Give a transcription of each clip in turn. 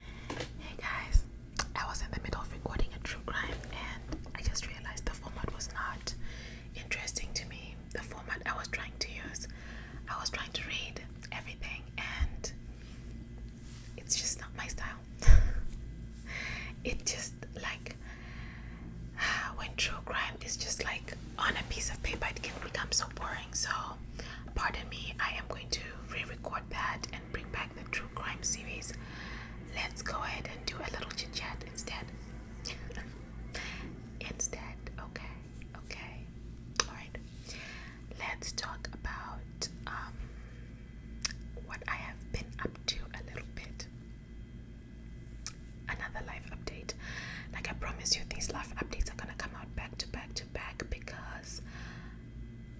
Hey guys, I was in the middle of recording a true crime and I just realized the format was not interesting to me. The format I was trying to use, I was trying to read everything and it's just not my style. it just like when true crime is just like on a piece of paper, it can become so boring. So, pardon me, I am going to re record that bring back the true crime series, let's go ahead and do a little chit chat instead. instead, okay, okay, all right. Let's talk about um, what I have been up to a little bit. Another life update. Like I promise you, these life updates are gonna come out back to back to back because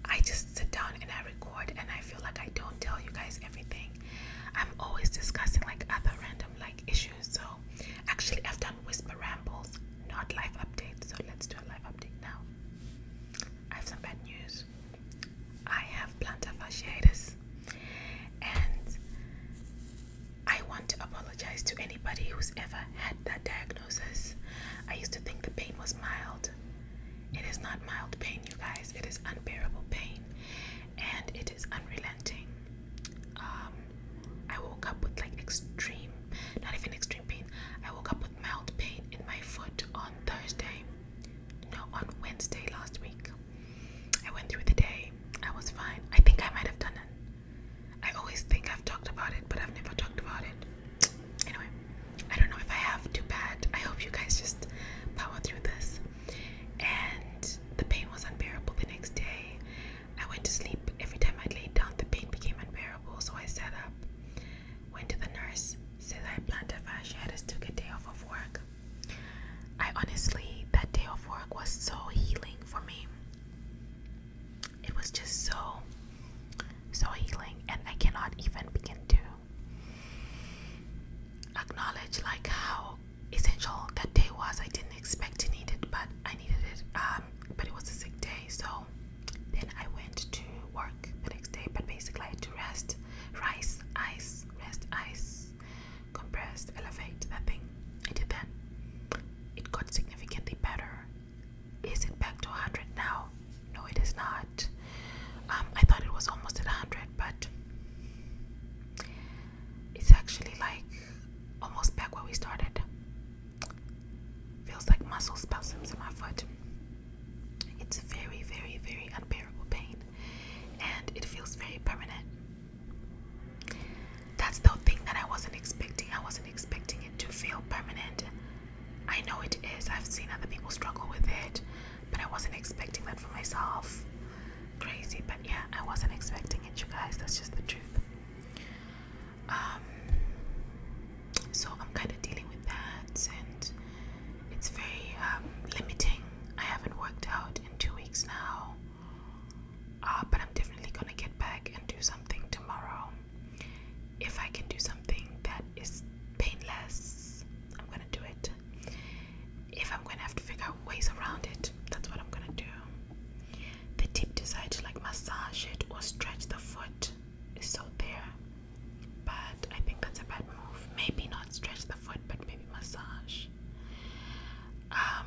I just sit down and I record, and I feel like I don't tell you guys everything. I'm always discussing like other random like issues. So, actually, I've done whisper rambles, not live updates. So let's do a live update now. I have some bad news. I have plantar fasciitis, and I want to apologize to anybody who's ever had that diagnosis. I used to think the pain was mild it is not mild pain, you guys. It is unbearable pain, and it is unrelenting. Um, I woke up with like extreme, not even extreme pain. I woke up with mild pain in my foot on Thursday. No, on Wednesday last week. I went through the day. I was fine. I think I might have done it. I always think I've talked about it, but I've never talked about it anyway, I don't know if I have too bad. I hope you guys just power through this. And the pain was unbearable the next day. I went to sleep. Every time I laid down, the pain became unbearable, so I sat up. Went to the nurse, said I had plantar fasciitis, took a day off of work. I honestly, that day off work was so healing for me it was just so so healing and i cannot even begin to acknowledge like how essential that day was i didn't expect to need it but i needed it um but it was a sick day so then i went to work the next day but basically to rest rice ice rest ice compressed elevate that thing i did that it got significantly better is it back to 100 now? No, it is not. Um, I thought it was almost at 100, but it's actually like almost back where we started. Feels like muscle spasms in my foot. It's very, very, very unbearable pain, and it feels very permanent. That's the thing that I wasn't expecting. I wasn't expecting it to feel permanent. I know it is. I've seen other people struggle with it, but I wasn't expecting that for myself. Crazy, but yeah, I wasn't expecting it, you guys. That's just the truth. Um, so I'm kind of dealing with that, and it's very um, limiting. I haven't worked out in two weeks now, uh, but I'm definitely gonna get back and do something tomorrow if I can do something that is painless, I'm gonna do it. If I'm gonna have to figure out ways around it, that's what I'm gonna do. The tip desire to like massage it or stretch the foot is so there, but I think that's a bad move. Maybe not stretch the foot, but maybe massage. Um,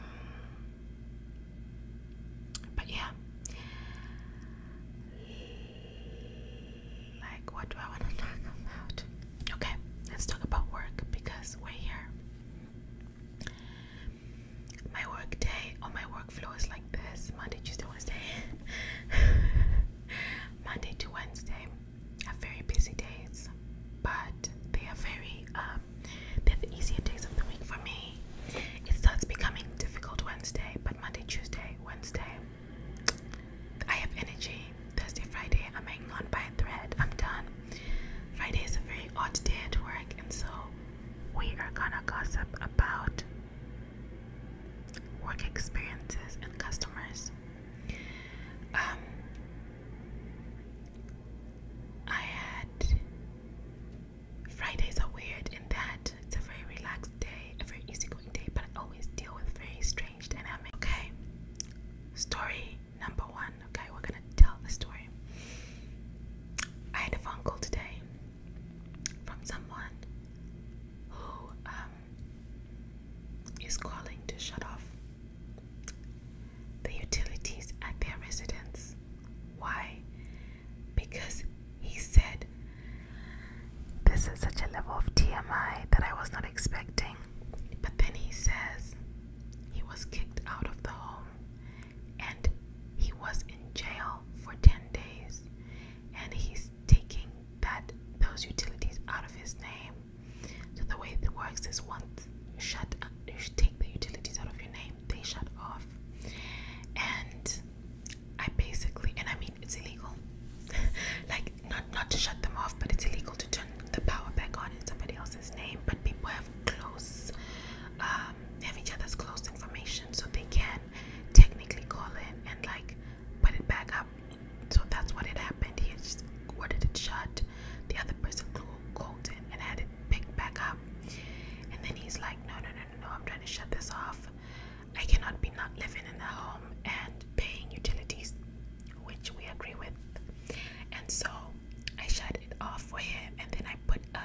but yeah, like, what do I want to talk about? Okay, let's talk about work because we're here. My work day oh, my workflow is like this Monday, Tuesday, Wednesday. Monday to Wednesday have very busy days, but they are very, um, they're the easiest days of the week for me it starts becoming difficult Wednesday, but Monday, Tuesday, Wednesday, I have energy. Thursday, Friday, I'm hanging by thread. I'm done. Friday is a very odd day at work, and so we are gonna gossip about work experiences and customers. Um, I had Fridays are weird in that it's a very relaxed day, a very easygoing day, but I always deal with very strange dynamics. Okay, story number one. Okay, we're gonna tell the story. I had a phone call today from someone who um, is calling to shut off the utilities at their residence. Why? because he said, This is such a level of TMI that I was not expecting. But then he says he was kicked out of the home and he was in jail for 10 days and he's taking that those utilities out of his name. So the way it works is once you shut up, you take the utilities out of your name, they shut off. And I basically, and I mean, it's illegal. like, not not to shut them off, but it's illegal to turn the power back on in somebody else's name. But people have close, um, have each other's close information, so they can technically call in and like put it back up. So that's what it happened. He just ordered it shut. The other person called in and had it picked back up. And then he's like, no, no, no, no, no, I'm trying to shut this off. I cannot be not living in a home and paying utilities, which we agree with. And so I shut it off for him and then I put a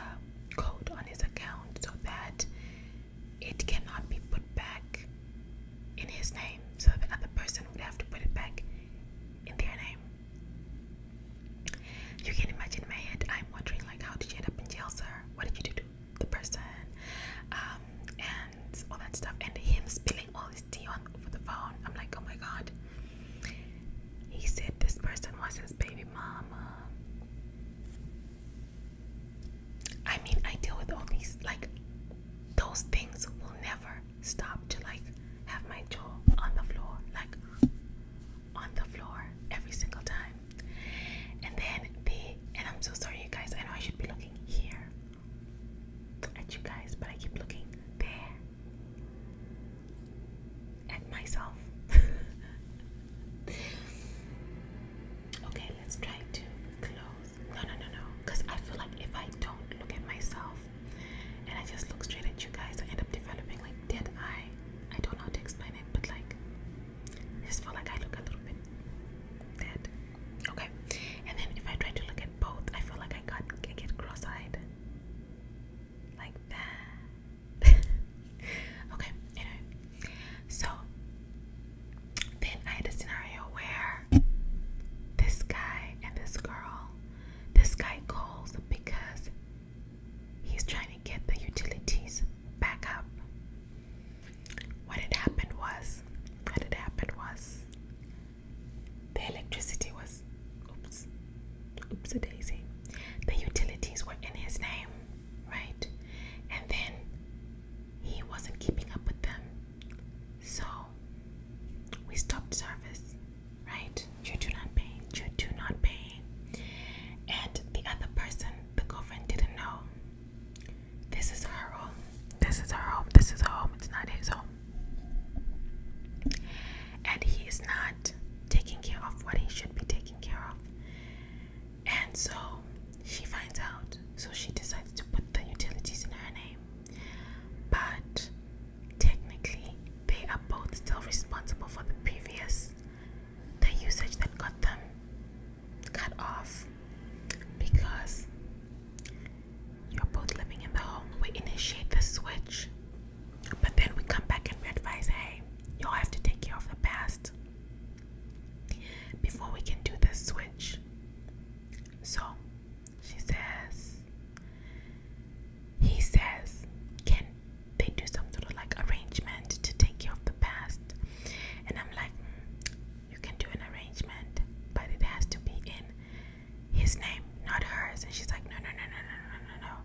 code on his account so that it cannot be put back in his name. So the other person would have to put it back in their name. You can imagine in my head, I'm wondering like how did you end up in jail, sir? What did you do? the person, um, and all that stuff. And him spilling all his tea on over the phone. I'm like, oh my god. He said this person was his baby mama. I mean, I deal with all these like those things will never stop to like have my jaw on the floor. Like on the floor every single time. And then the and I'm so sorry, you guys, I know I should be looking here at you guys, but I keep looking there at myself. okay, let's try to close. No, no, no, no, because I feel like if I don't look at myself and I just look straight at you guys, I end up developing like dead eye. I don't know how to explain it, but like I just feel like I look a little bit dead. Okay. And then if I try to look at both, I feel like I got get cross-eyed. Like that. okay, anyway. So then I had a scenario where this guy and this girl, this guy calls because he's trying to get the utilities back up what had happened was, what had happened was, the electricity was, oops, oops a daisy. The utilities were in his name, right? And then he wasn't keeping up with them. So we stopped service, right? You do not pay. You do not pay and the other person, the girlfriend, didn't know. This is her home. This is her home. This is her home. It's not his home. And he is not taking care of what he should be taking care of. And so she finds out. So she decides to put the utilities in her name. But technically, they are both still responsible for the previous the usage that got them cut off because you're both living in the home. We initiate the switch, but then we come back and we advise hey, y'all have to take care of the past before we can do the switch. So she says, he says, can they do some sort of like arrangement to take care of the past, and I'm like, mm, you can do an arrangement, but it has to be in his name, not hers. And she's like, no, no, no, no, no, no, no, no.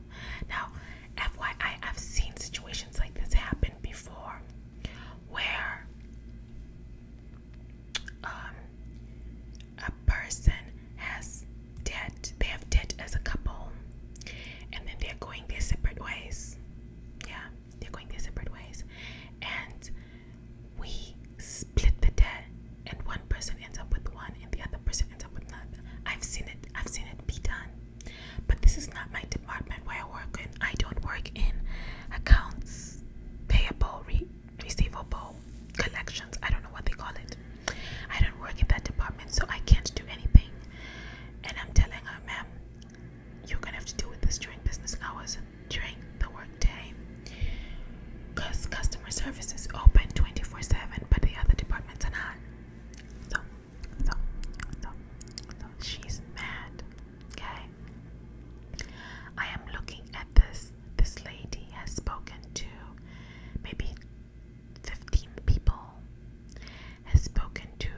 Now, FYI, I've seen situations like this happen before, where um, a person has debt, they have debt as a couple, and then they're going their separate ways yeah, they're going their separate ways. And we split the debt, and one person ends up with one, and the other person ends up with another. I've seen it, I've seen it be done. But this is not my department where I work and I don't work in accounts payable, receivable, collections. I don't know what they call it. I don't work in that department, so I can't do anything. And I'm telling her, ma'am, you're gonna have to deal with this during business hours during the workday because customer service is open 24 7 but the other departments are not so so so so she's mad okay i am looking at this this lady has spoken to maybe 15 people has spoken to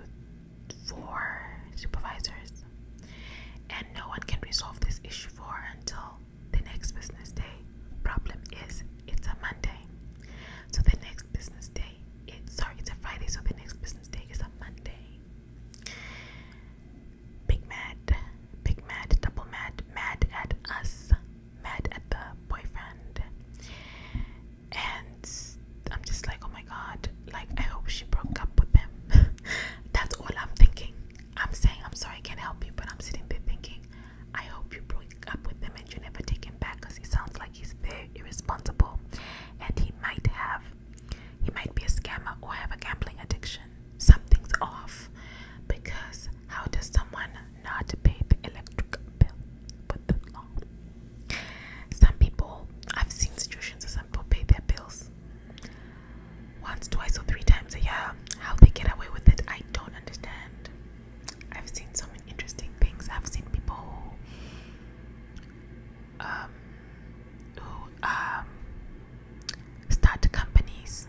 four supervisors, and no one can resolve this issue for until the next business day. Problem is, it's a Monday, so the next business day. It's sorry, it's a Friday, so the next business day is a Monday. Big mad, big mad, double mad, mad at us, mad at the boyfriend, and I'm just like, oh my god, like I hope she broke up with him. That's all I'm thinking. I'm saying, I'm sorry, I can't help you, but I'm sitting there thinking, I hope you broke up with him and you never take him back because he sounds like he's very irresponsible and he might have, he might be a scammer or have a gambling addiction. Something's off because how does someone not pay the electric bill some people, I've seen situations where some people pay their bills once, twice, or three times a year. How they get away with it, I don't understand. I've seen so many interesting things. I've seen people who, um, um, start companies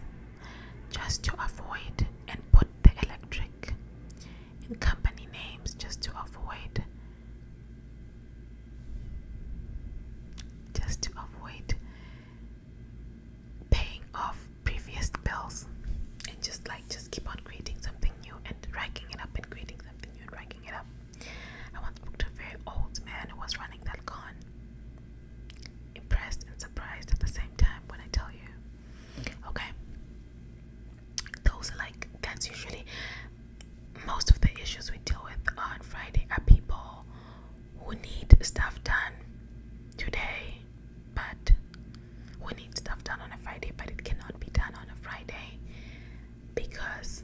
just to avoid and put the electric and company names just to avoid just to avoid paying off previous bills and just like just keep on creating something new and racking it up and creating something new and racking it up. I once booked a very old man who was running that con. Impressed and surprised at the same time when I tell you. Okay those are like that's usually most of the issues we deal with on Friday are people who need stuff done today, but we need stuff done on a Friday, but it cannot be done on a Friday because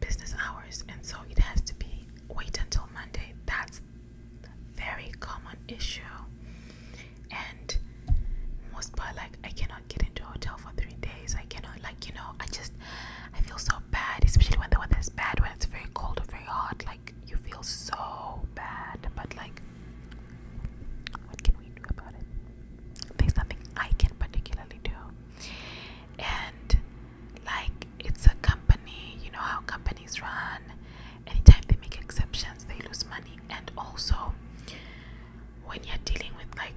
business hours, and so it has to be wait until Monday. That's a very common issue and most part like I cannot get into a hotel for three days. I cannot like you know, I just I feel so bad, especially when the weather is bad, when it's very cold or very hot, like you feel so bad. But like what can we do about it? There's nothing I can particularly do. And like it's a company, you know how companies run. Anytime they make exceptions, they lose money. And also, when you're dealing with like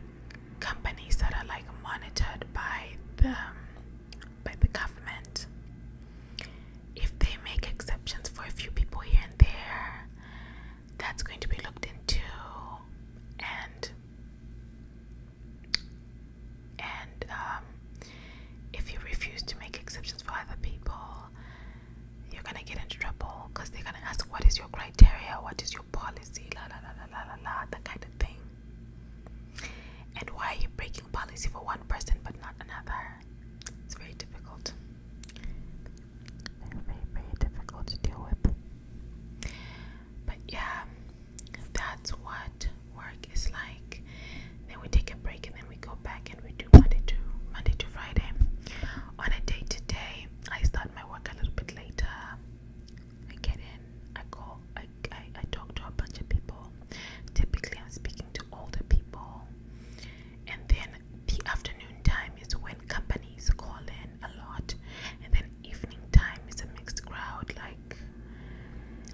companies that are like monitored by the um, by the government if they make exceptions for a few people here and there that's going to be looked into and and um, if you refuse to make exceptions for other people you're gonna get into trouble because they're gonna ask what is your criteria, what is your policy, la la la la la la la, that kind of thing. And why are you breaking policy for one person but not another? It's very difficult. Very, very, very difficult to deal with. But yeah, that's what work is like. Then we take a break and then we go back and we do Monday to Monday to Friday. On a day to day, I start my work a little bit later. I get in, I go. I, I, I talk to a bunch of people. Typically, I'm speaking to older people, and then the afternoon time is when companies call in a lot, and then evening time is a mixed crowd. Like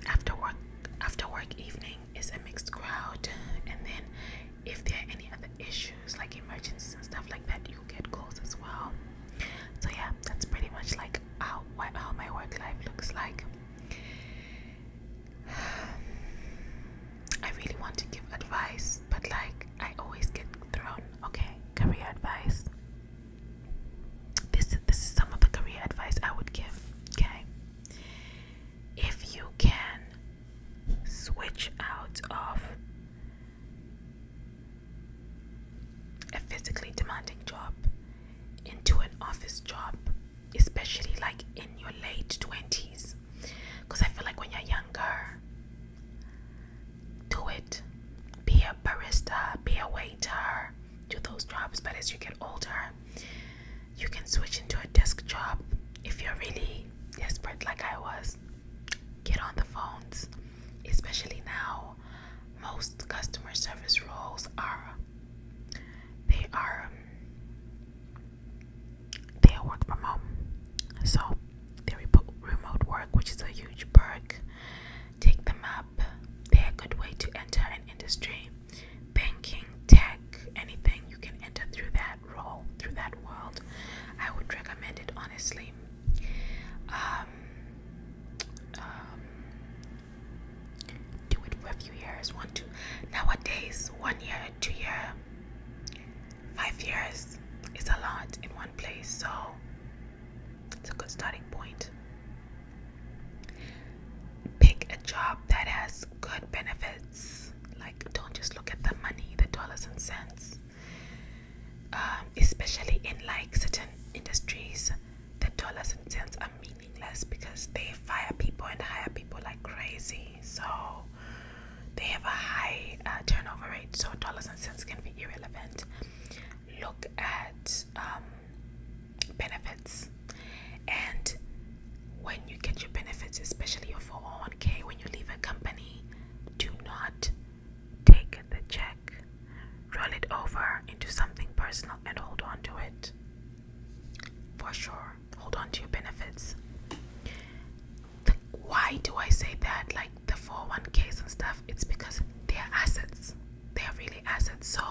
after work, after work evening is a mixed crowd, and then if there are any other issues like emergencies and stuff like that, you get calls as well. So yeah, that's pretty much like how how my work life looks like. I really want to give advice, but like I always get thrown. Okay, career advice. This this is some of the career advice I would give. Okay, if you can switch out of a physically demanding job into an office job, especially like in your late 20s. Because I feel like when you're younger, do it. Be a barista, be a waiter, do those jobs. But as you get older, you can switch into a desk job if you're really desperate, like I was get on the phones, especially now. Most customer service roles are they are um, they are work from home, so they remote work, which is a huge perk. Take them up. They're a good way to enter an industry, banking, tech, anything you can enter through that role, through that world, I would recommend it honestly. Um, um, do it for a few years, one, two. Nowadays, one year, two year, five years is a lot in one place, so it's a good starting point. Pick a job that has good benefits. Like, don't just look at the money, the dollars and cents. Um, especially in like certain industries the dollars and cents are meaningless because they fire people and hire people like crazy so they have a high uh, turnover rate so dollars and cents can be irrelevant look at um, benefits and when you get your benefits especially your 401k when you leave a company do not take the check, roll it over into something personal, and hold on to it. For sure, hold on to your benefits. why do I say that? Like the 401ks and stuff, it's because they're assets. They're really assets. So,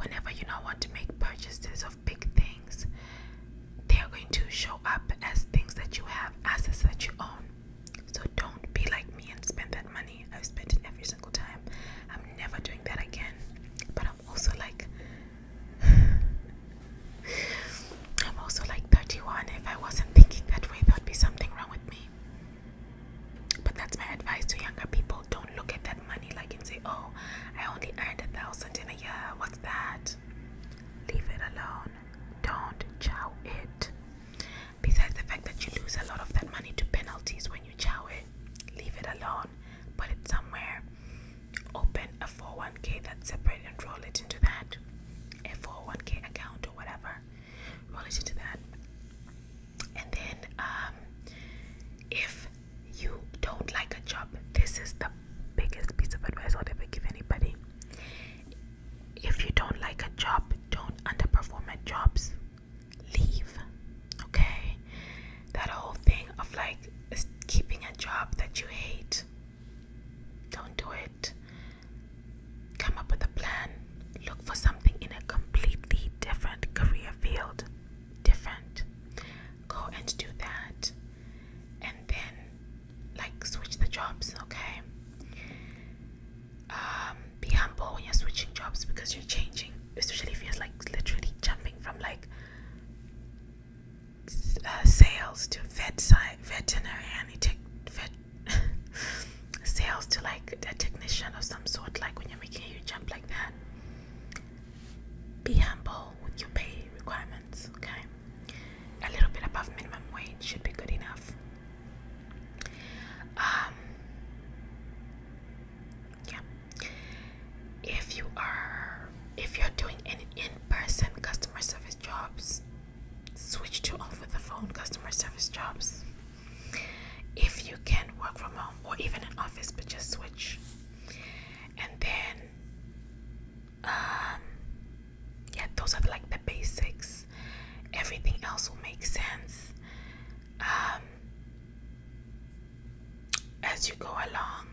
whenever you now want to make purchases of big things, they are going to show up as things that you have, assets that you own. So don't be like me and spend that money. I've spent it every single time. I'm never doing that again. But I'm also like, I'm also like 31. If I wasn't thinking that way, there'd be something wrong with me. But that's my advice to younger people. Don't look at that money like and say, oh, I only earned a thousand in a year. What's that? Leave it alone don't chow it. Besides the fact that you lose a lot of that money to penalties when you chow it, leave it alone, put it somewhere, open a 401k that's separate and roll it into that, a 401k account or whatever, roll it into that. And then, um, if you don't like a job, this is the biggest piece of advice I'll ever give anybody if you don't like a job, don't underperform at jobs. Leave. Okay? That whole thing of like keeping a job that you hate. Don't do it. Come up with a plan. Look for something in a completely different career field. Different. Go and do that and then like switch the jobs, okay? Um, be humble when you're switching jobs because you're changing, especially if you're like literally jumping from like uh, sales to vet side, veterinary, tech, vet, sales to like a technician of some sort. Like when you're making you jump like that, be humble with your pay requirements, okay? a little bit above minimum wage should be good enough. Um, yeah. If you are, if you're doing any in-person customer service jobs, switch to over the phone customer service jobs. If you can work from home or even an office, but just switch. And then um, yeah those are like the basics everything else will make sense um, as you go along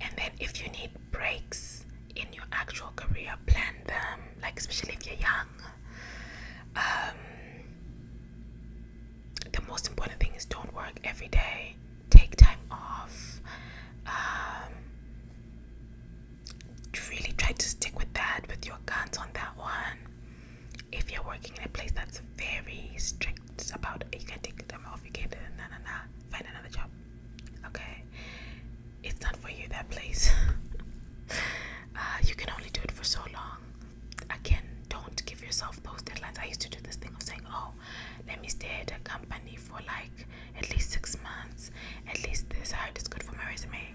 and then if you need breaks in your actual career plan them like especially if you're young um, the most important thing is don't work every day take time off. Um, really try to stick with that, with your guns on that one. If you're working in a place that's very strict about you can take them off, you can't na na na find another job. Okay, it's not for you that place. Uh, you can only do it for so long. Again, don't give yourself those deadlines. I used to do this thing of saying, "Oh, let me stay at a company for like at least six months. At least this height is good for my resume.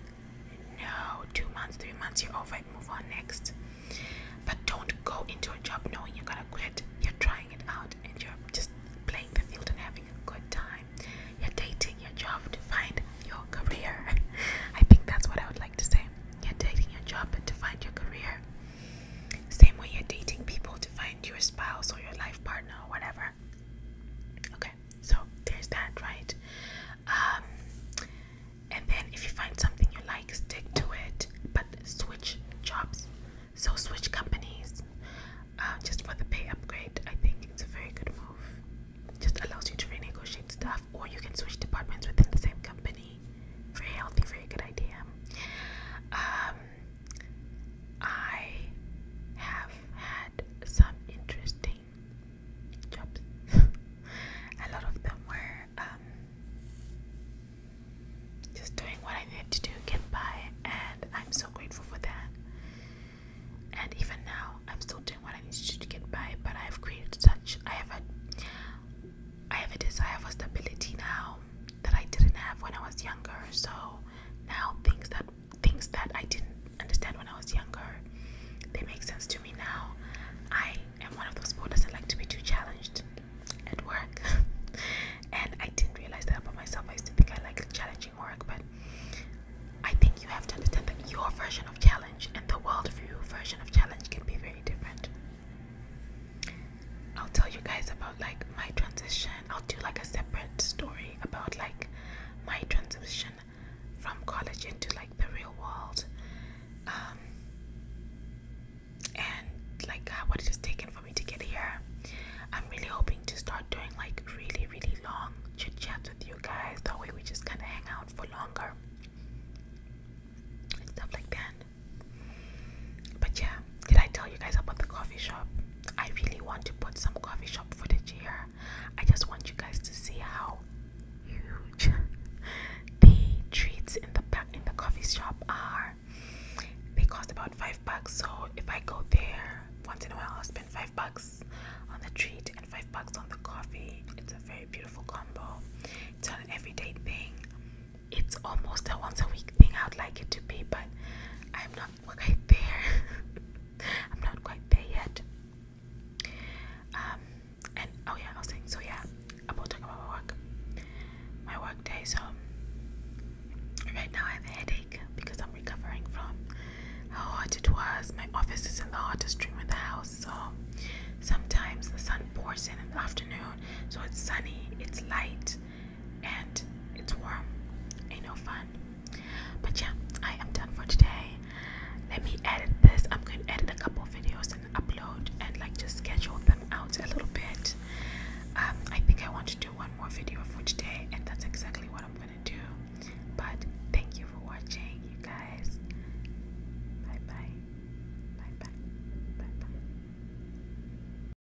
No, two months, three months, you're over it, move on next. But don't go into a job knowing you're gonna quit. You're trying it out and you're just playing the field and having a good time. You're dating your job to find your career. I think that's what I would like to say. You're dating your job to find your career. Same way you're dating people to find your spouse or your life partner or whatever. Okay, so there's that, right? Um, and then if you find something you like, stick to it, but switch jobs. So switch companies uh, just for the pay upgrade. I think it's a very good move. Just allows you to renegotiate stuff, or you can switch departments within the same company. Very healthy, very good idea. Um, I have had some interesting jobs. A lot of them were um, just doing what I needed to do, get by, and I'm so grateful for that. And even now, I'm still doing what I need to do to get by, but I've created such I have a I have a desire for stability now that I didn't have when I was younger, so now things that things that I didn't understand when I was younger, they make sense to me now. I am one of those people doesn't like to be too challenged at work, and I didn't realize that about myself. I used to think I liked challenging work, but I think you have to understand that your version of challenge and the world view version of challenge can be very different. I'll tell you guys about like my transition I'll do like a separate story about like my transition from college into like the real world. Um, and like what it just taken for me to get here. I'm really hoping to start doing like really, really long chit chats with you guys. That way we just kinda hang out for longer. And stuff like that. But yeah, did I tell you guys about the coffee shop? I really want to put some coffee shop footage here. I just want you guys to see how huge the treats in the back in the coffee shop are. They cost about five bucks, so if I go there once in a while, I'll spend five bucks on the treat and five bucks on the coffee. It's a very beautiful combo. It's an everyday thing. It's almost a once a week thing. I'd like it to be, but I'm not Okay, there. I'm not quite there yet. Um, and oh yeah, I was saying so yeah, about talking about my work. My work day, so right now I have a headache because I'm recovering from how hot it was. My office is in the hottest room in the house, so sometimes the sun pours in in the afternoon, so it's sunny, it's light, and it's warm. Ain't no fun. But yeah, I am done for today. Let me edit this. I'm gonna edit a couple videos and upload and like just schedule them out a little bit. Um, I think I want to do one more video for today, and that's exactly what I'm gonna do. But thank you for watching, you guys. Bye bye. Bye bye. Bye bye.